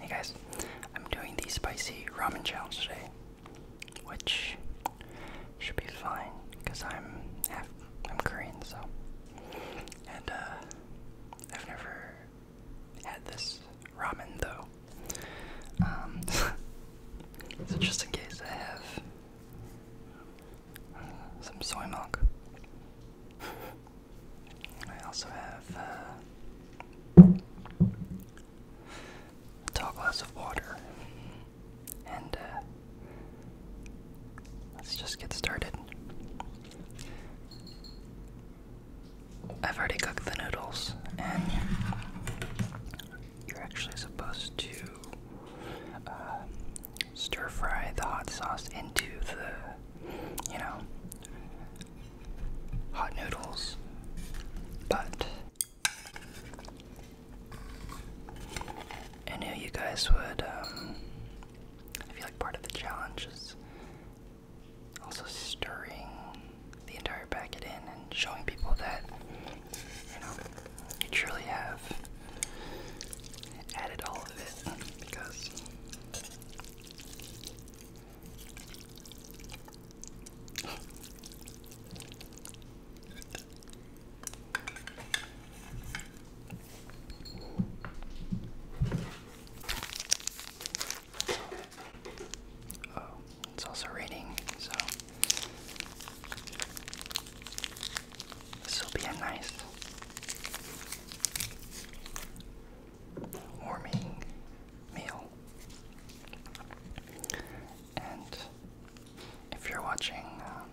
Hey guys, I'm doing the spicy ramen challenge today, which should be fine because I'm I'm Korean, so and uh, I've never had this ramen though. Um, so just in case, I have uh, some soy milk. I also have uh, a tall glass of water. And uh, let's just get started. I've already cooked the noodles, and you're actually supposed to uh, stir fry the hot sauce into the, you know, hot noodles, but I knew you guys would. Um, I feel like part of the challenge is also stirring the entire packet in and showing people that you know you truly have added all of it because Oh, it's also raining, so this will be a nice warming meal. And if you're watching uh,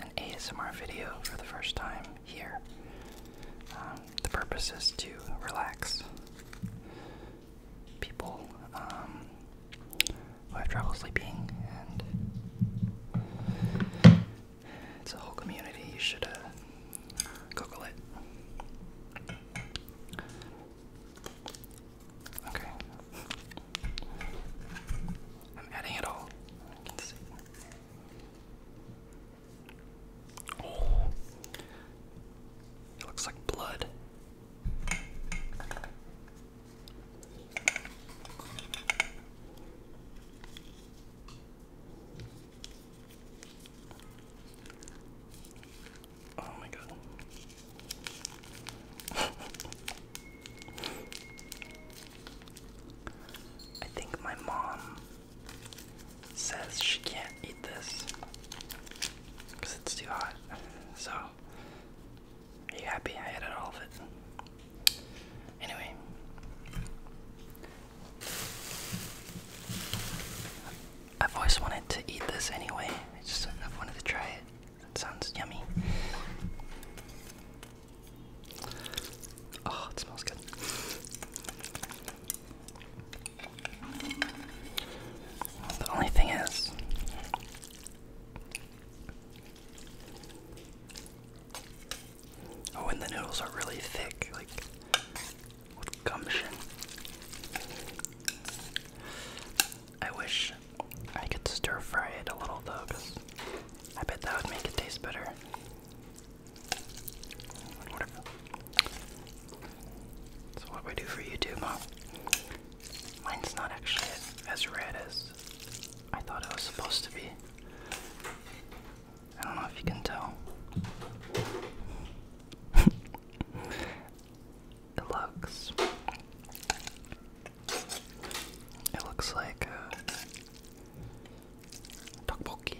an ASMR video for the first time here, um, the purpose is to relax people. Um, I have trouble sleeping, and it's a whole community. You should uh, Google it. Okay. I'm adding it all. Let's see. Oh, it looks like blood. Oh my god. I think my mom says she can't eat this because it's too hot. So are you happy I added all of it? Anyway. I've always wanted to eat this anyway. I just have wanted to try it. It sounds yummy. Oh, it smells good. The only thing is, Oh, and the noodles are really thick, like with gumption. I wish I could stir fry it a little though, because I bet that would make it taste better. So what we do for YouTube, huh? Mine's not actually as red as I thought it was supposed to be. I don't know if you can tell. it looks. It looks like uh, tteokbokki,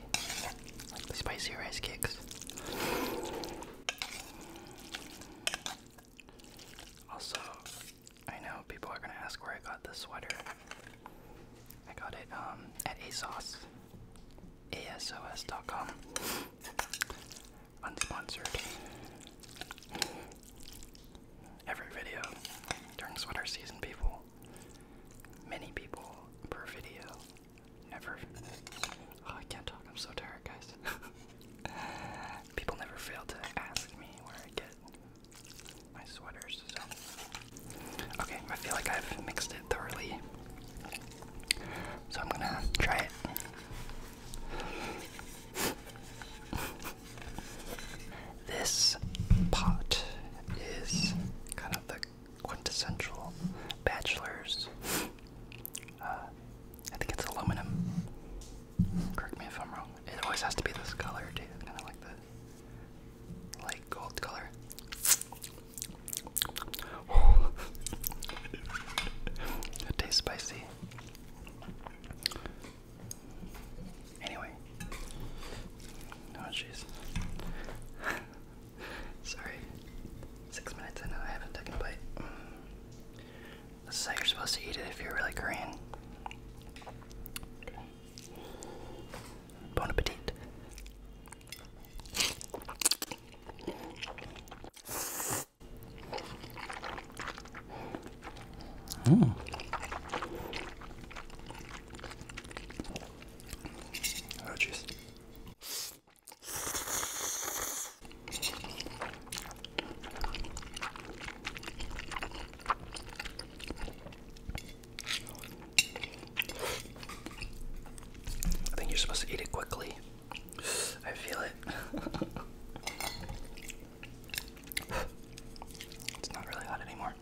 like spicy rice cakes. Also, I know people are gonna ask where I got this sweater. I got it um, at ASOS, ASOS.com, unsponsored. Every video during sweater season, people, many people per video, never. Oh, I can't talk. I'm so tired, guys. people never fail to ask me where I get my sweaters. Okay, I feel like I've mixed it thoroughly. So I'm gonna try it. This pot is kind of the quintessential bachelor's uh, I think it's aluminum. Correct me if I'm wrong. It always has to be this color too, kind of like the light gold color. it tastes spicy. Anyway. Oh jeez. Sorry. Six minutes in and I haven't taken a bite. This is how you're supposed to eat it if you're really Korean. Bon appetit. Mm. Oh, jeez. I think you're supposed to eat it quickly. I feel it. it's not really hot anymore.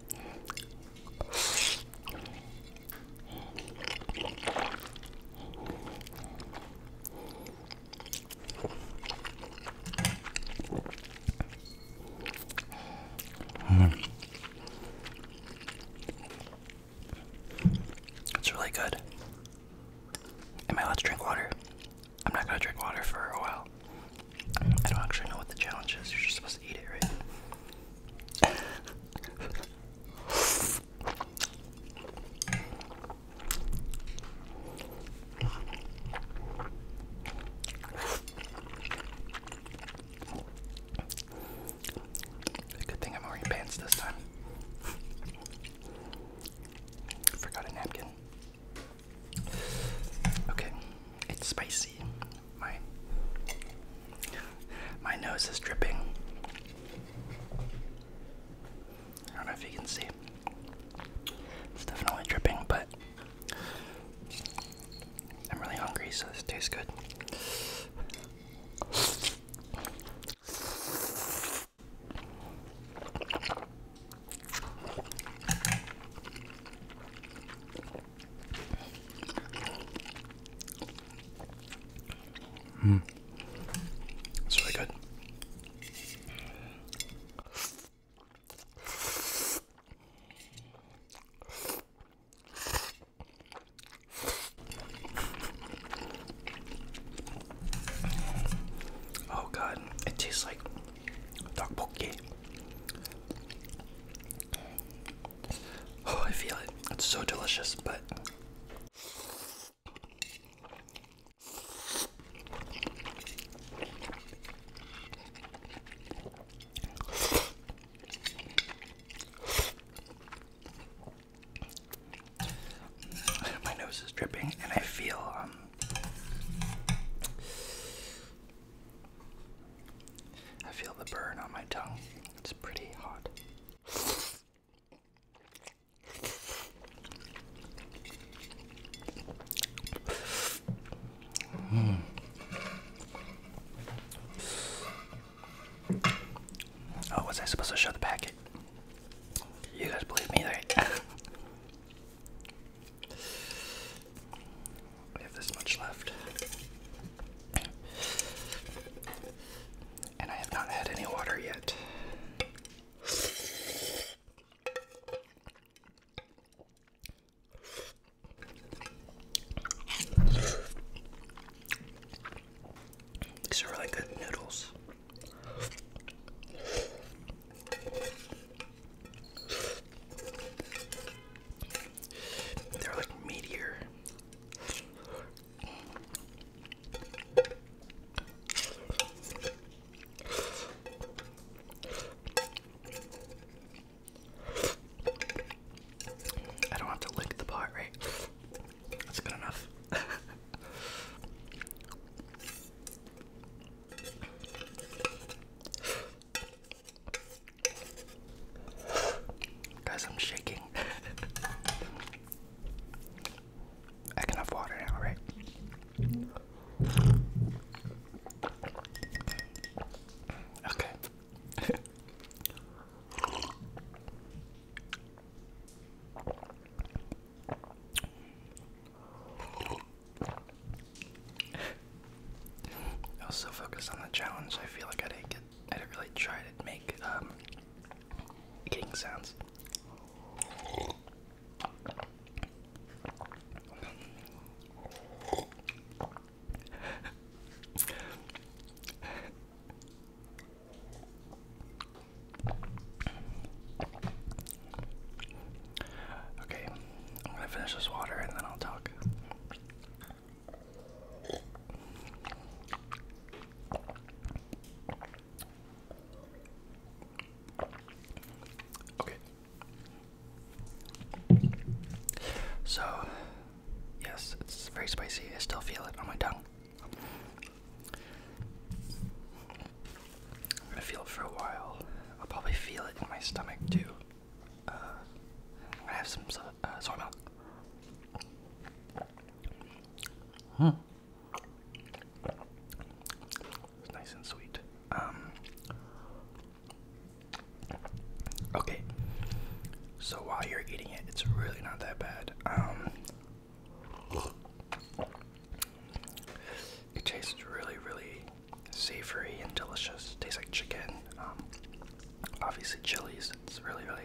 Mm. It's really good. Am I allowed to drink water? I'm not gonna drink water for a while. I don't actually know what the challenge is. You're just supposed to eat it, right? It's good thing I'm wearing pants this time. Forgot a napkin. Okay, it's spicy. My my nose is dripping. I don't know if you can see. It's definitely dripping, but I'm really hungry, so this tastes good. Mm. It's really good. Oh god, it tastes like tteokbokki. Oh, I feel it. It's so delicious, but my nose is dripping, and I feel um, I feel the burn on my tongue. It's pretty hot. Oh, was I supposed to show the packet? You guys believe me, right? we have this much left and I have not had any water yet. These are really good noodles. They're like meteor. I don't have to lick the pot, right? That's good enough. Guys, I'm shaking. I can have water now, right? Okay. I was so focused on the challenge, I feel like I didn't get I didn't really try to make um, sounds. okay, I'm gonna finish this water and then I'll talk. Okay. So, yes, it's very spicy. I still feel it on my tongue. I'm gonna feel it for a while. I'll probably feel it in my stomach too. Uh, i have some uh, soy milk. Hmm. It's nice and sweet. Um, okay. So while you're eating it, it's really not that bad. Um, it tastes really, really savory and delicious. Tastes like chicken. Um, obviously chilies. It's really, really.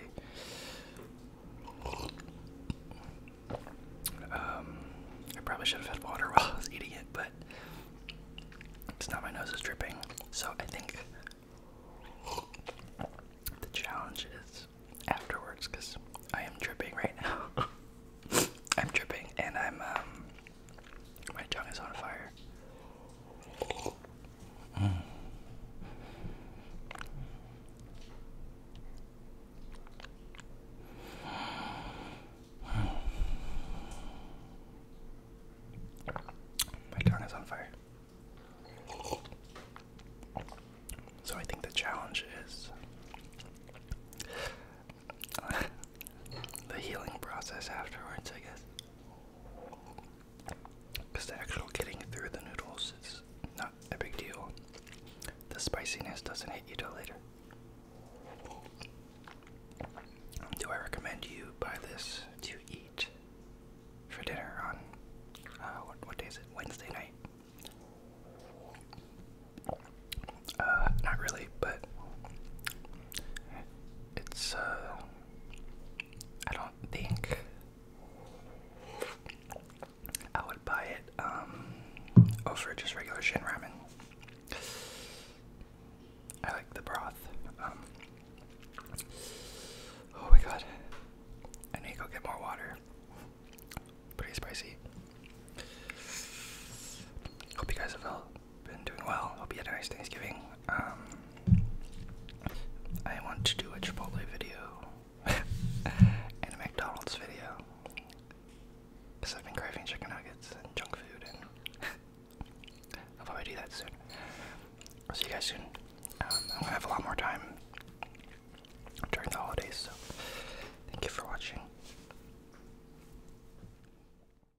Um, I probably should have had water while I was eating it, but it's not my nose is dripping. So I think the challenge is afterwards because I am dripping right now. I'm dripping and I'm um my tongue is on fire. My tongue is on fire. So I think the challenge is the healing process afterwards, I guess. Because the actual getting through the noodles is not a big deal. The spiciness doesn't hit you till later. Do I recommend you buy this to eat for dinner on uh, what, what day is it? Wednesday night? Uh, not really, but it's uh, I don't think I would buy it um, over just regular Shin Ramen. I like the broth. Um, oh my god. I need to go get more water. Pretty spicy. Hope you guys have felt been doing well. Hope you had a nice Thanksgiving. Um, I want to do a Chipotle video and a McDonald's video because I've been craving chicken nuggets and junk food, I'll probably do that soon. I'll see you guys soon. Um, I'm gonna have a lot more time during the holidays, so thank you for watching.